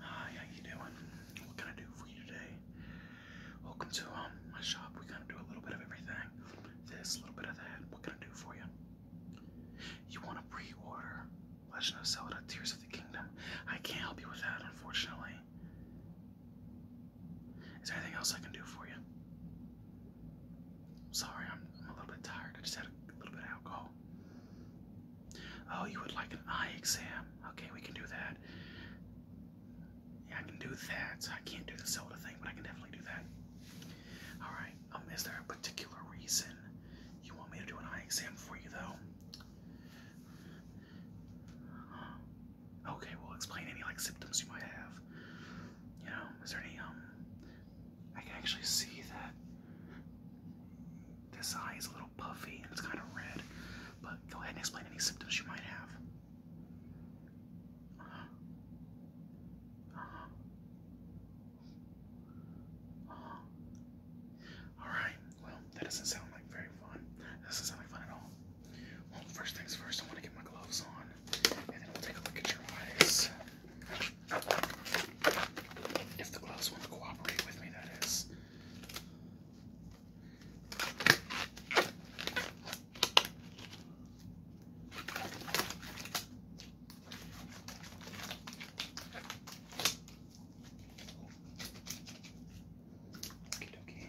Hi, how you doing? What can I do for you today? Welcome to um, my shop. We kind of do a little bit of everything. This, a little bit of that. What can I do for you? You want to pre-order Legend of Zelda: Tears of the Kingdom? I can't help you with that, unfortunately. Is there anything else I can do for you? Sorry, I'm, I'm a little bit tired. I just had a little bit of alcohol Oh. oh, you would like an eye exam? Okay, we can do that. Yeah, I can do that. I can't do the soda thing, but I can definitely do that. All right. Um, is there a particular reason you want me to do an eye exam for you, though? Okay. Well, explain any like symptoms you might have. You know, is there any um I can actually see that this eye is a little puffy and it's kind of red. But go ahead and explain any symptoms you might have. Alright, well, that doesn't sound like very fun. doesn't sound like fun at all. Well, first things first, I want to get my gloves on and then we'll take a look at your eyes. If the gloves want to cooperate with me, that is. Okay, okay.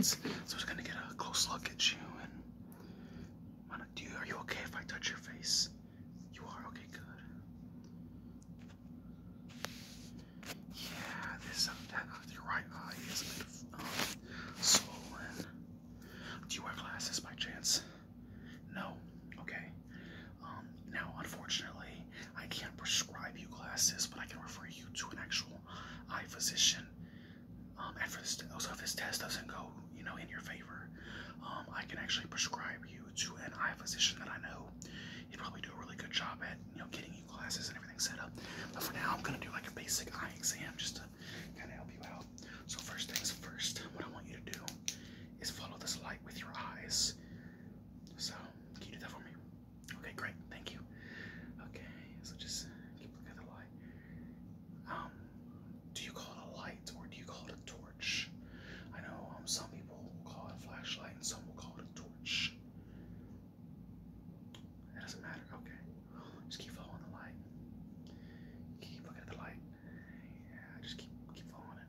so I was gonna get a close look at you. And wanna, do are you okay if I touch your face? You are okay, good. Yeah, this uh, that, uh, your right eye is a bit um, swollen. Do you wear glasses by chance? No. Okay. Um, now, unfortunately, I can't prescribe you glasses, but I can refer you to an actual eye physician. Um, and for this, also if this test doesn't go, you know, in your favor, um, I can actually prescribe you to an eye physician that I know. He'd probably do a really good job at, you know, getting you glasses and everything set up. But for now, I'm gonna do like a basic eye exam just to kind of help you out. So first things first, what I want you to do is follow this light with your eyes. So, can you do that for me? Okay, great. Thank you. Okay, so just keep looking at the light. Um, do you call it a light or do you call it a torch? I know um, some people will call it a flashlight and some will call it a torch. It doesn't matter. Okay, just keep following the light. Keep looking at the light. Yeah, just keep keep following it.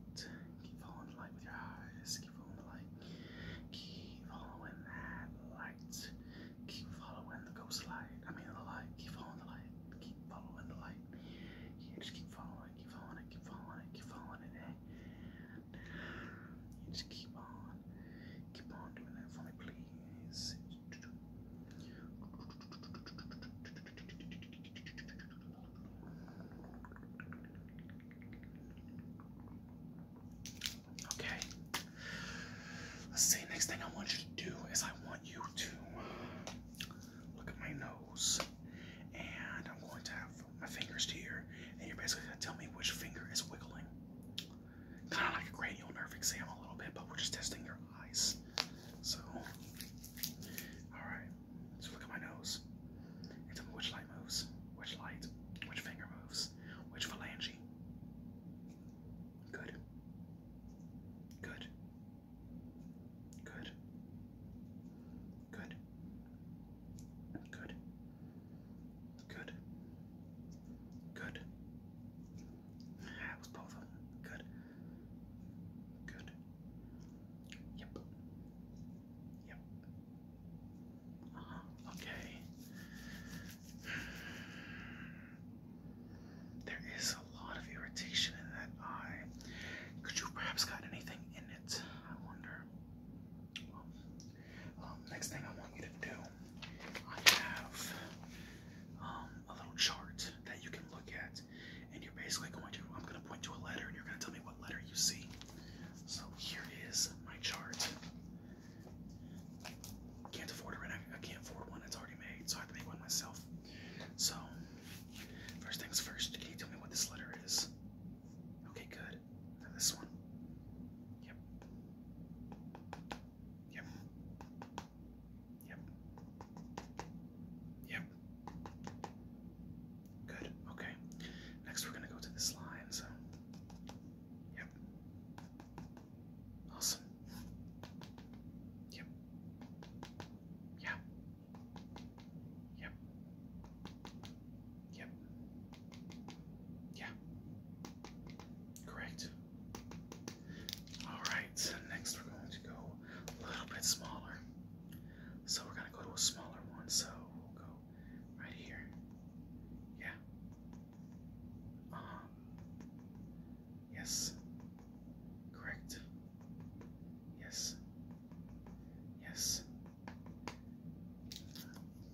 Keep following the light with your eyes. Keep following the light. Keep following that light. Keep following the ghost light. I mean the light. Keep following the light. Keep following the light. just keep following Keep following Keep following Keep following it. Eh? you just keep on. Keep on doing that for me, please. Okay. Let's see. Next thing I want you to do is I want you to look at my nose, and I'm going to have my fingers here, and you're basically going to tell me which finger is wiggling. Kind of like a cranial nerve exam, a little bit, but we're just testing your eyes. So, all right. So look at my nose and tell me which light moves, which light, which finger moves, which phalange. Good. Good. Good. Good. Good. Good. Good. That was both of them. Good. Good. Yep. Yep. Okay. There is a lot of irritation in that eye. Could you perhaps got anything in it? I wonder. Um, um, next thing I want you to do, I have um, a little chart that you can look at, and you're basically going to. I'm going to point to a letter, and you're going to tell me what letter you see. So here is my chart. Can't afford it, right? I, can't afford one that's already made, so I have to make one myself. So, first things first, can you tell me what this letter is? Okay, good. this one. Yep. Yep. Yep. Yep. Good. Okay. Next, we're gonna go to this line. So, yep. Awesome. Yep. Yeah. Yep. Yep. Yeah. Correct. All right. Next, we're going to go a little bit smaller. So we're gonna go to a smaller one. So we'll go right here. Yeah. Um. Yes. Correct. Yes. Yes.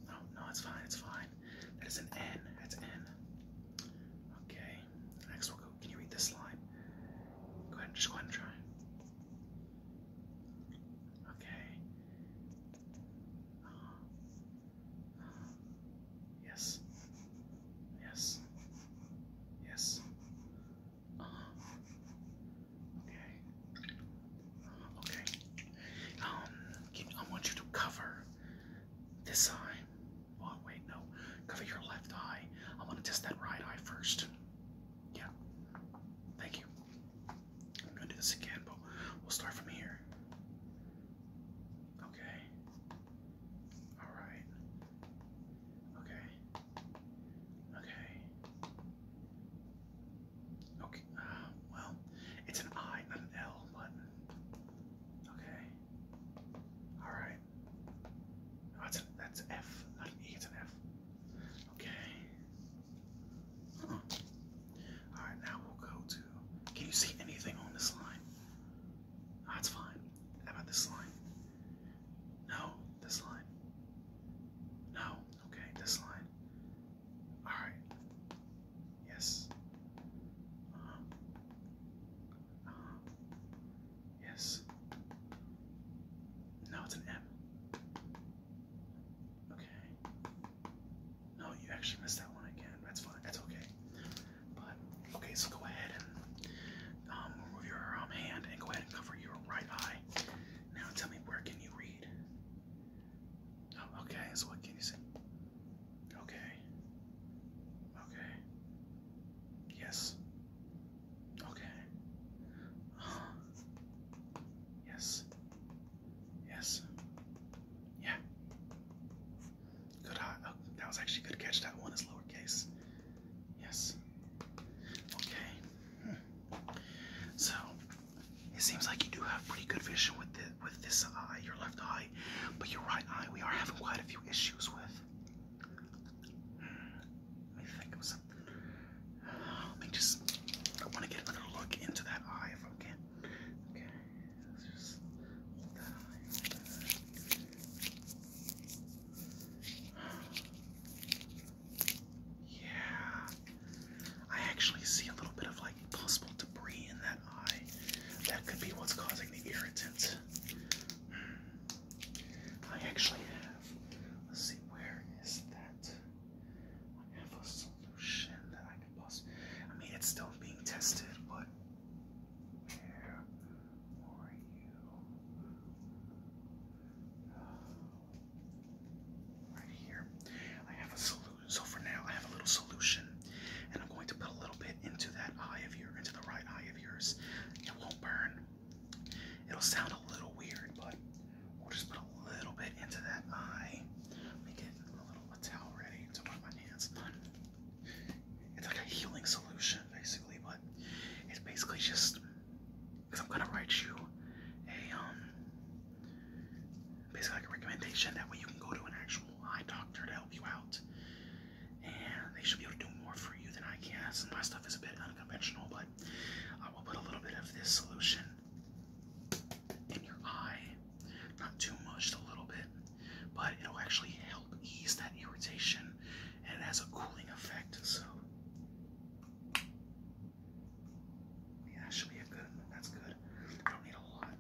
No, oh, no, it's fine, it's fine. That's an N. That's N. Okay. Next we'll go. Can you read this line? Go ahead and just go ahead and try. Okay. yes. Yes. Yes. okay. okay. Um, I want you to cover this eye. Oh wait, no. Cover your left eye. I want to test that right eye first. Yeah. Thank you. I'm gonna do this again, but we'll start from here. Okay. Alright. Okay. Okay. Okay. Uh, well, it's an I, not an L, but. Okay. Alright. that's oh, an, that's F, not an E, it's an F. Okay. All right, now we'll go to. Can you see anything on this line? That's ah, fine. How about this line? No, this line. No, okay, this line. All right. Yes. Uh huh. Uh huh. Yes. No, it's an M. Okay. No, you actually missed that one again. That's fine. That's okay. But okay, so go ahead and um, remove your um, hand and go ahead and cover your right eye. Now tell me where can you read? Oh, okay. So what can you see? Okay. Okay. Yes. Okay. Uh, yes. Yes. Yeah. Good eye. Oh, that was actually good catch. That one is lowercase. Yes. Okay. Hmm. So it seems like you do have pretty good vision with the, with this eye, your left eye, but your right eye we are having quite a few issues with. Hmm. Let me think of some let me just. I want to get another look into that eye if I can. Okay, let's just hold that Yeah, I actually see a little bit of like possible debris in that eye. That could be what's causing the irritant. Hmm. I actually have. Let's see, where is that? I have a solution that I can possibly. I mean, it's still being tested, but where were you? right here. I have a solution. So for now, I have a little solution, and I'm going to put a little bit into that eye of yours, into the right eye of yours. It won't burn. It'll sound a little weird, but we'll just put a little bit into that eye. Let me get a little a towel ready to wipe my hands. It's like a healing solution, basically, but it's basically just because I'm gonna write you a um basically like a recommendation that way you can go to an actual eye doctor to help you out, and they should be able to do more for you than I can. Since my stuff is a bit unconventional, but I will put a little bit of this solution in your eye. Not too much, just a little bit, but it'll actually help ease that irritation and it has a cooling effect. So, that should be good That's good. I don't need a lot.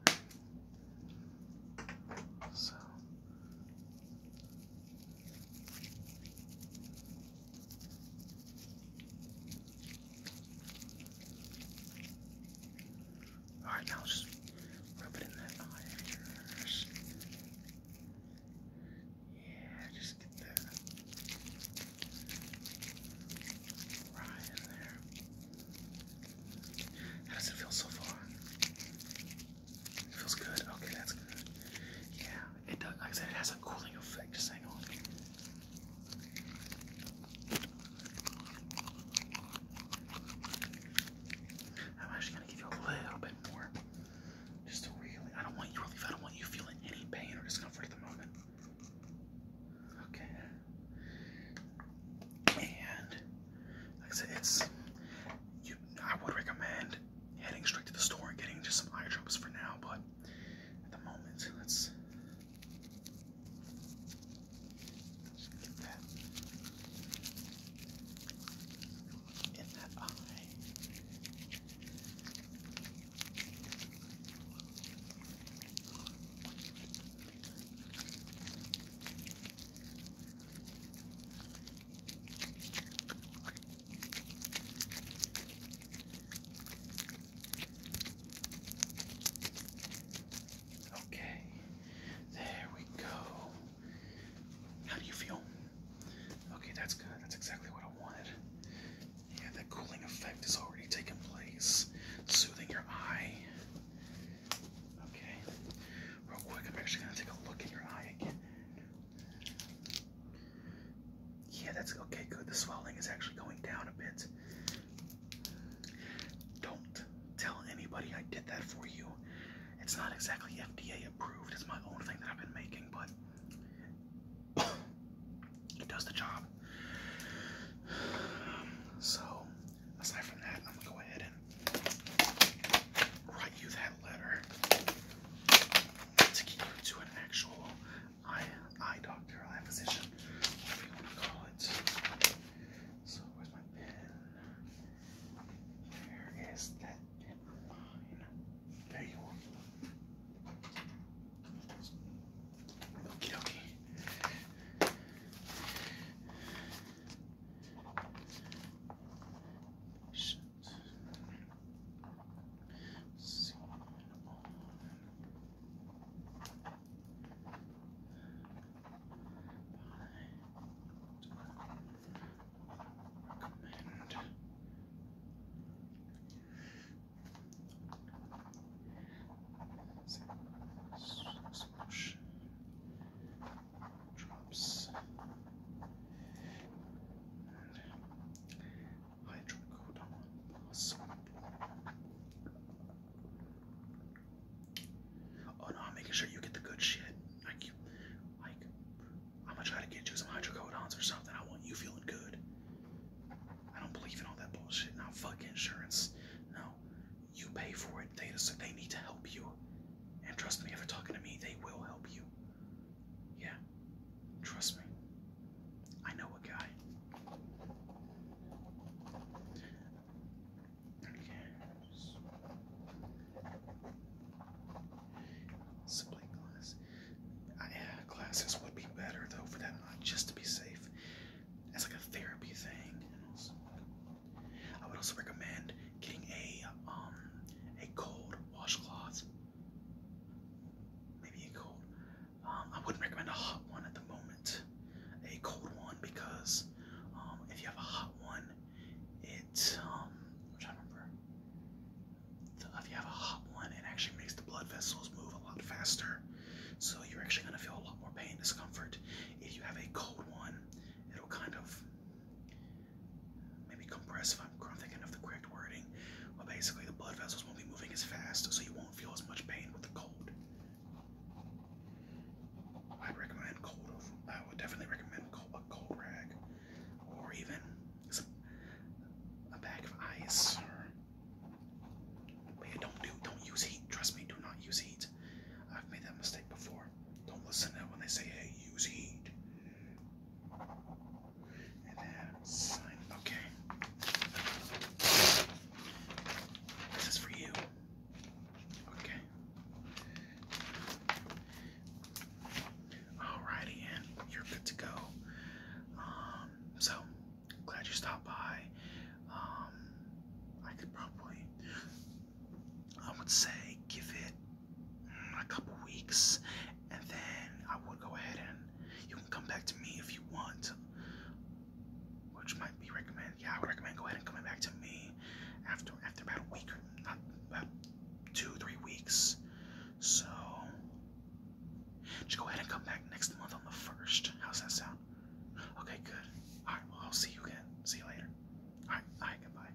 So, Alright, now just rub it in that eye of Yeah, just get that right in there. How does it feel so far? feels good. Okay, that's good. Yeah it does, like I said, it has a cooling effect. Just hang on. I'm actually gonna give you a little bit more, just to really. I don't want you relief. I don't want you feeling any pain or discomfort at the moment. Okay. And like I said, it's. I would recommend heading straight to the store and getting just some eye drops for now, but at the moment. Let's get that in that eye. Okay, there we go. How do you feel? Okay, that's good. That's exactly what I wanted. Yeah, that cooling effect is already taking place, soothing your eye. Okay, real quick, I'm actually going to take a look at your eye again. Yeah, that's okay, good. The swelling is actually going down a bit. Don't tell anybody I did that for you. It's not exactly FDA approved, it's my own thing that I've been making, but it does the job. so, aside from that, I'm gonna go ahead and write you that letter to get to an actual eye eye doctor, eye physician, whatever you want to call it. So where's my pen? Where is that pen There you are. Okie dokie seen on recommend Swoosh. drops and hydrocodone plus. Oh no, I'm making sure you get the good shit. Like, like I'm gonna try to get you some hydrocodones or something. I want you feeling good. I don't believe in all that bullshit. Now, fuck insurance. No, you pay for it. They just, they need to help you. And trust me, if they're talking to me, they will help you. Yeah, trust me. I know a guy. Yes. Sibling glass. I, glasses would be better though for that just to be safe. It's like a therapy thing. I would also recommend getting a um a cold washcloth Maybe a cold. Um, I wouldn't recommend a hot one at the moment. A cold one because um, if you have a hot one, it um, which I remember. If you have a hot one, it actually makes the blood vessels move a lot faster, so you're actually gonna feel a lot more pain, and discomfort. If you have a cold one, it'll kind of maybe compress if I'm thinking of the correct wording. But basically, the blood vessels won't be moving as fast, so you won't feel as much pain with the cold. I recommend cold. I would definitely recommend a cold rag, or even a bag of ice. But do don't use heat. Trust me, do not use heat. I've made that mistake before. Don't listen to when they say, "Hey, use heat." Okay. This is for you. Okay. Alrighty, and you're good to go. Um, so glad you stopped by. Um, I could probably, I would say, give it a couple weeks, and then I will go ahead and you can come back to me if you want, which might be recommended. Yeah, I would recommend go ahead and coming back to me after after about a week not about two three weeks. So just go ahead and come back next month on the first. How's that sound? Okay, good. All right, well I'll see you again. See you later. All right, all right, goodbye.